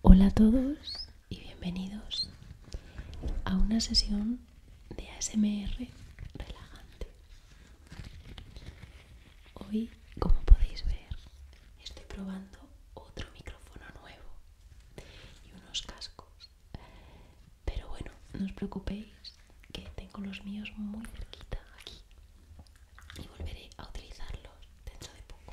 Hola a todos y bienvenidos a una sesión de ASMR relajante. Hoy, como podéis ver, estoy probando otro micrófono nuevo y unos cascos. Pero bueno, no os preocupéis que tengo los míos muy cerquita aquí y volveré a utilizarlos dentro de poco.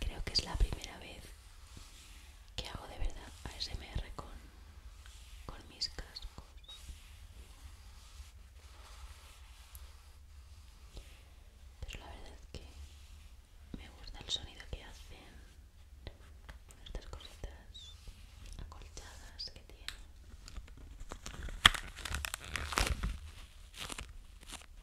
Creo que es la primera vez que hago de verdad ASMR con, con mis cascos. Pero la verdad es que me gusta el sonido que hacen estas cositas acolchadas que tienen.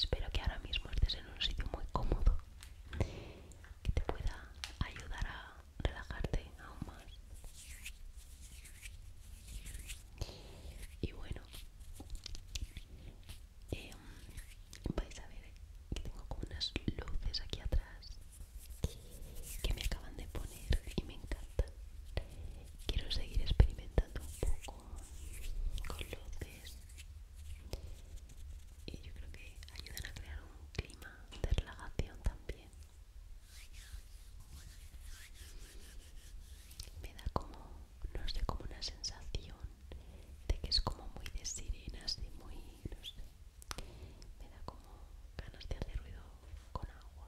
Espero que ahora mismo estés en un sitio muy cómodo que te pueda ayudar a relajarte aún más. Y bueno, em, vais a ver que tengo como unas luces aquí atrás que me acaban de poner y me encantan. Quiero seguir experimentando un poco con luces y yo creo que ayudan a crear un clima de relajación también. Me da como, no sé, como una sensación de que es como muy de sirenas, así, muy, no sé. Me da como ganas de hacer ruido con agua.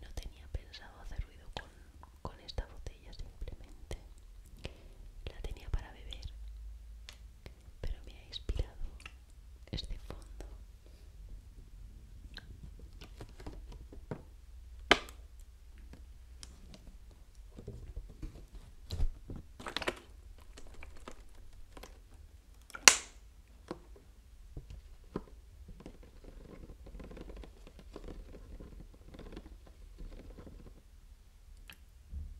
No tenía pensado hacer ruido con esta botella simplemente. La tenía para beber pero me ha inspirado este fondo.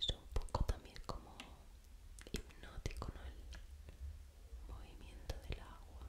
Es un poco también como hipnótico, El movimiento del agua.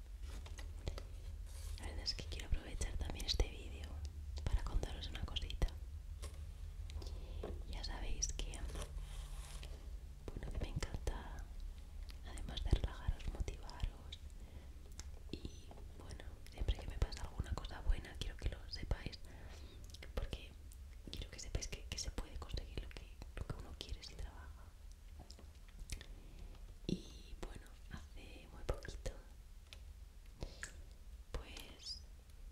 la verdad es que quiero aprovechar también este vídeo para contaros una cosita. Ya sabéis que me encanta, además de relajaros, motivaros. Y bueno, siempre que me pasa alguna cosa buena, quiero que lo sepáis. Porque quiero que sepáis que, se puede conseguir lo que uno quiere si trabaja y bueno hace muy poquito pues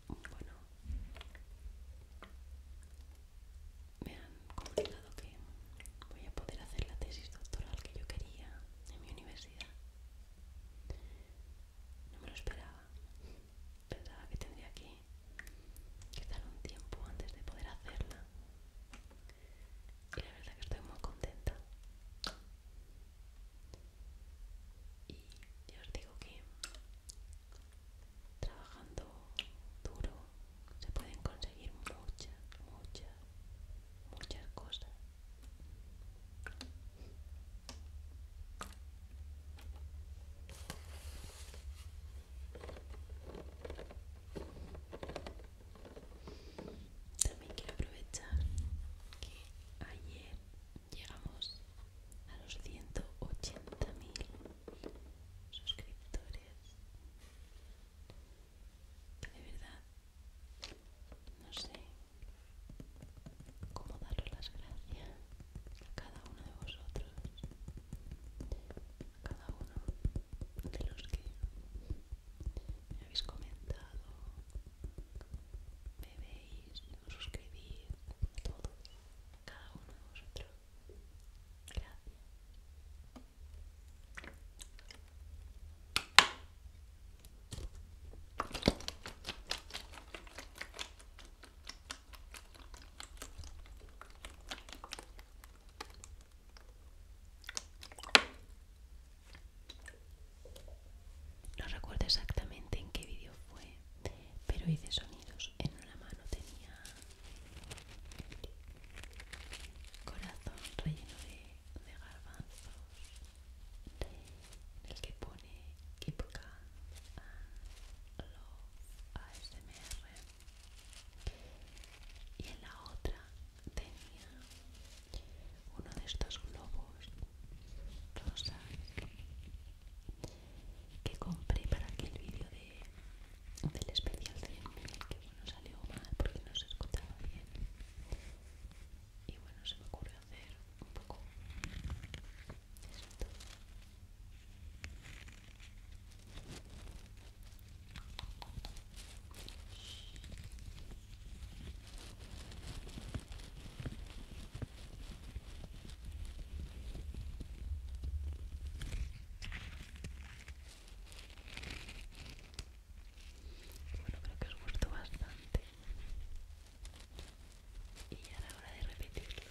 bueno me han comunicado que voy a poder hacer la tesis doctoral que yo quería en mi universidad no me lo esperaba pensaba que tendría que, que un tiempo antes de poder hacerla y la verdad que estoy muy contenta y ya os digo que trabajando duro se pueden conseguir muchas muchas muchas cosas también quiero aprovechar que ayer llegamos a los 180.000 suscriptores. de verdad no sé cómo daros las gracias a cada uno de vosotros, a cada uno de los que me habéis comentado, me veis, me suscribís, todos, cada uno de vosotros. Gracias. No recuerdo exactamente en qué vídeo fue, pero hice sonidos. En una mano tenía corazón relleno de, garbanzos, en el que pone Keep Calm and Love ASMR y en la otra tenía uno de estos globos rosa que compré para aquel vídeo del especial de que bueno salió mal porque no se escuchaba bien y bueno se me ocurrió hacer un poco esto bueno, creo que os gustó bastante. Y ya a la hora de repetirlo.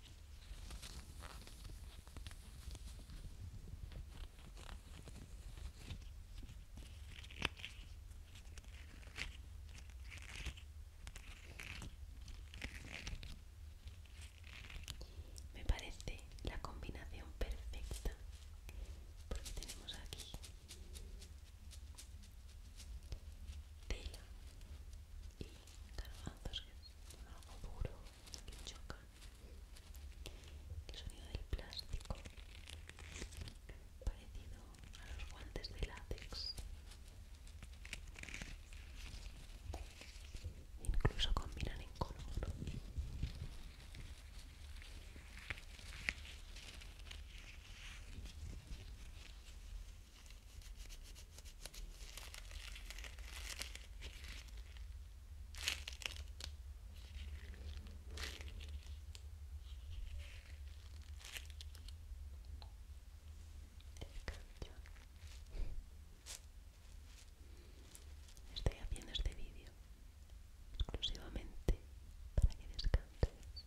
Me parece la combinación perfecta porque tenemos aquí tela garbanzos que son algo duro que el sonido del plástico parecido a los guantes de látex incluso combinan en color Estoy haciendo este vídeo exclusivamente para que descanses.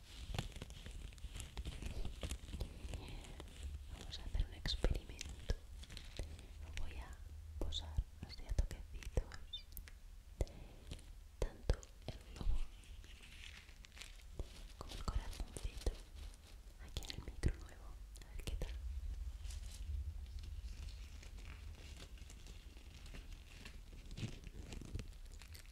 Vamos a hacer un experimento. voy a posar así a toquecitos. Tanto el globo como el corazoncito. Aquí en el micro nuevo. A ver qué tal.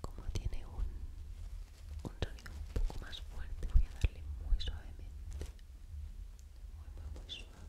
Como tiene un, un sonido un poco más fuerte, voy a darle muy suavemente. Muy, muy, suave.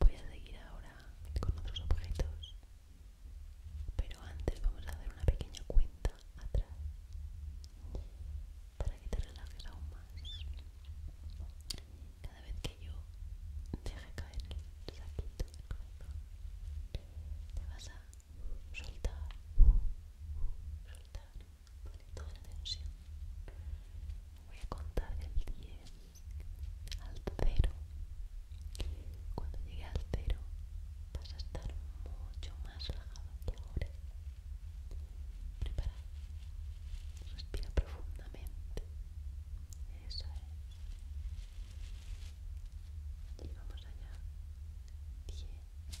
Voy a seguir ahora con otros objetos pero antes vamos a hacer una pequeña cuenta atrás Para que te relajes aún más Cada vez que yo deje caer el saco del Te vas a soltar soltar toda la tensión Voy a contar del 10 al 0 cuando llegue al cero vas a estar mucho más relajado que ahora. Prepara. Respira profundamente. Eso es. Llevamos allá. Diez. Eso es.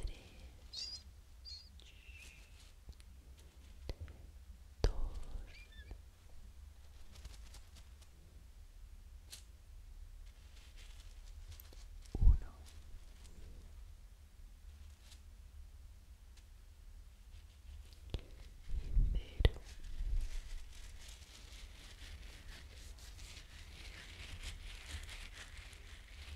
tres, dos, uno. 0 este sonido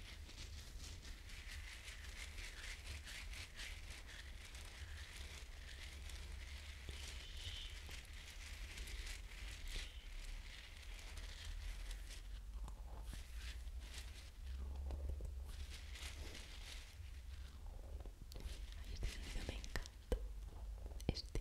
me encanta. Este.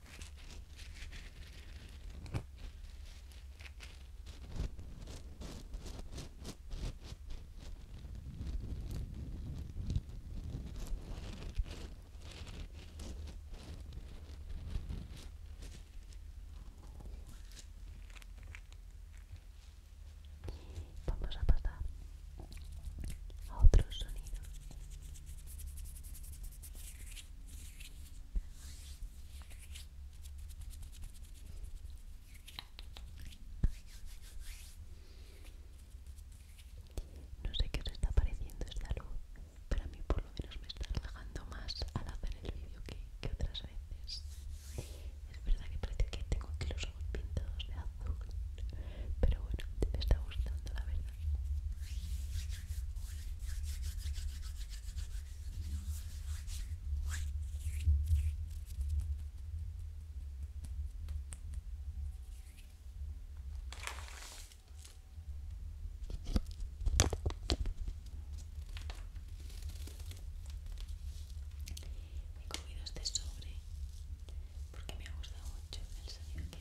Vamos a pasar a otro sonido. No sé qué os está pareciendo esta luz, pero a mí por lo menos me está relajando más al hacer el vídeo que, otras veces. Es verdad que parece que tengo aquí los ojos pintados de azul, pero bueno, me está gustando la verdad. He cogido este sobre porque me ha gustado mucho el sonido que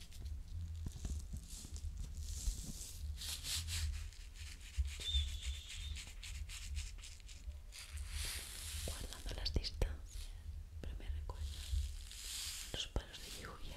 guardando las distancias pero me recuerda los palos de lluvia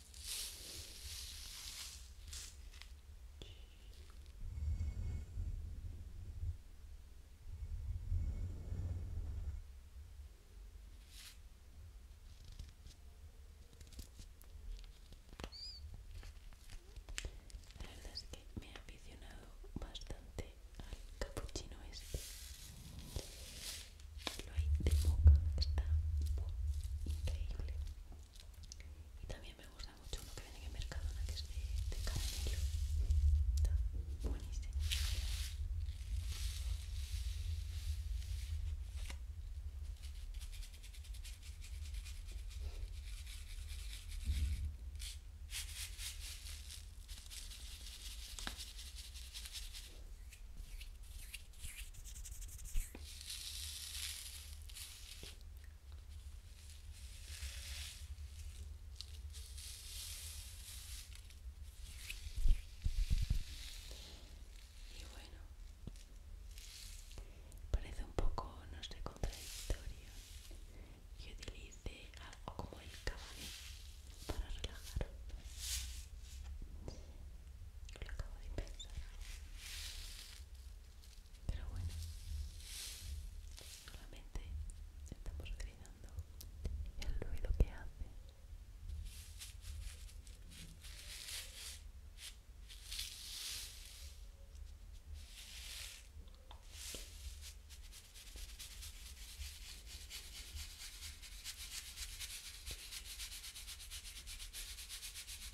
La verdad es que me he aficionado bastante al capuchino este. Lo hay de boca, está increíble. Y también me gusta mucho uno que viene en el Mercadona, que es de, caramelo. buenísimo. Y bueno, parece un poco, no sé, contradictorio que utilice algo como el café para relajar lo acabo de pensar pero bueno solamente estamos gritando el ruido que hace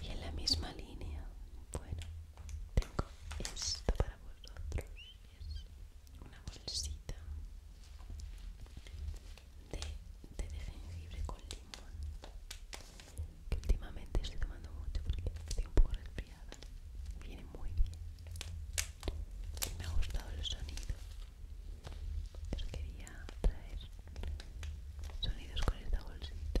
Y en la misma línea, bueno, tengo esto para vosotros. una bolsita de de jengibre con limón que últimamente estoy tomando mucho porque estoy un poco resfriada. Viene muy bien. Y me ha gustado el sonido. pero quería traer sonidos con esta bolsita.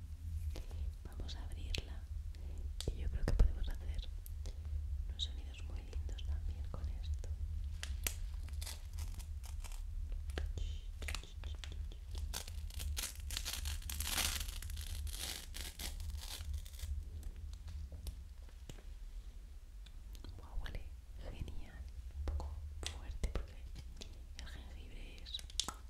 Vamos a abrirla y yo creo que podemos hacer unos sonidos muy lindos también con esto. Wow, huele genial, un poco fuerte porque el jengibre es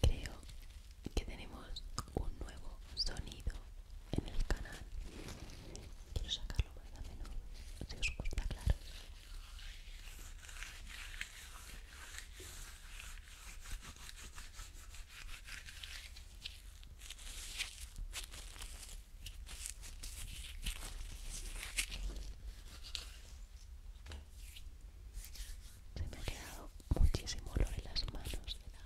Creo que tenemos un nuevo sonido en el canal. Quiero sacarlo más a menudo, si os gusta, claro. Se me ha quedado muchísimo olor en las manos de la,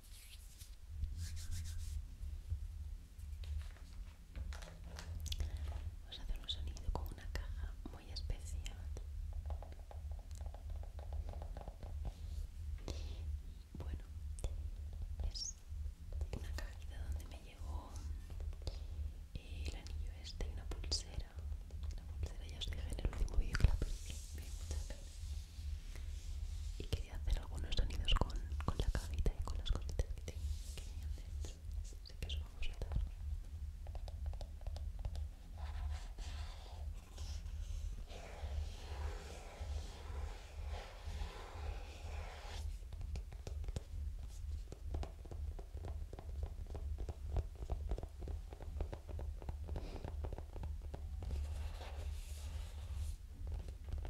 Vamos a hacer un sonido con una caja muy especial. Bueno, es una cajita donde me llegó el anillo este y una pulsera. La pulsera ya os dije en el último vídeo que la perdí, me dio hacer algunos sonidos con, la cabita y con las cositas que que hacer, Así que eso vamos a dar.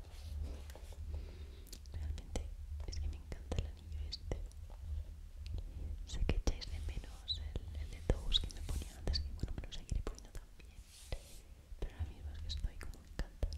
Realmente es que me encanta el anillo este. Sé que echáis de menos el, de todos que me ponía antes, que bueno, me lo seguiré poniendo también. Pero ahora mismo es que estoy como encantada.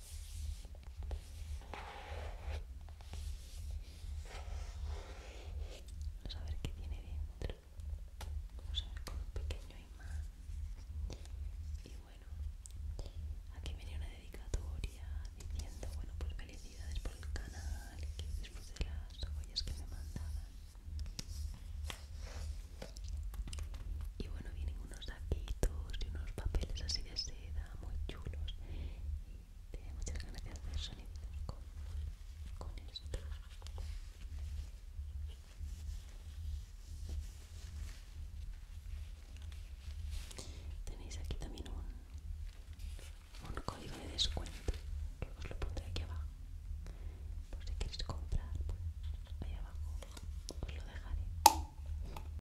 Vamos a ver qué tiene dentro. Vamos a ver con un pequeño imán. Y bueno, aquí viene una dedicatoria diciendo, bueno, pues felicidades por el canal, que de las joyas que me mandaban. Y bueno, vienen unos saquitos y unos papeles así de seda muy chulos y tiene muchas ganas de hacer soniditos con, con esto tenéis aquí también un, un código de descuento que os lo pondré aquí abajo por si queréis comprar pues ahí abajo os lo dejaré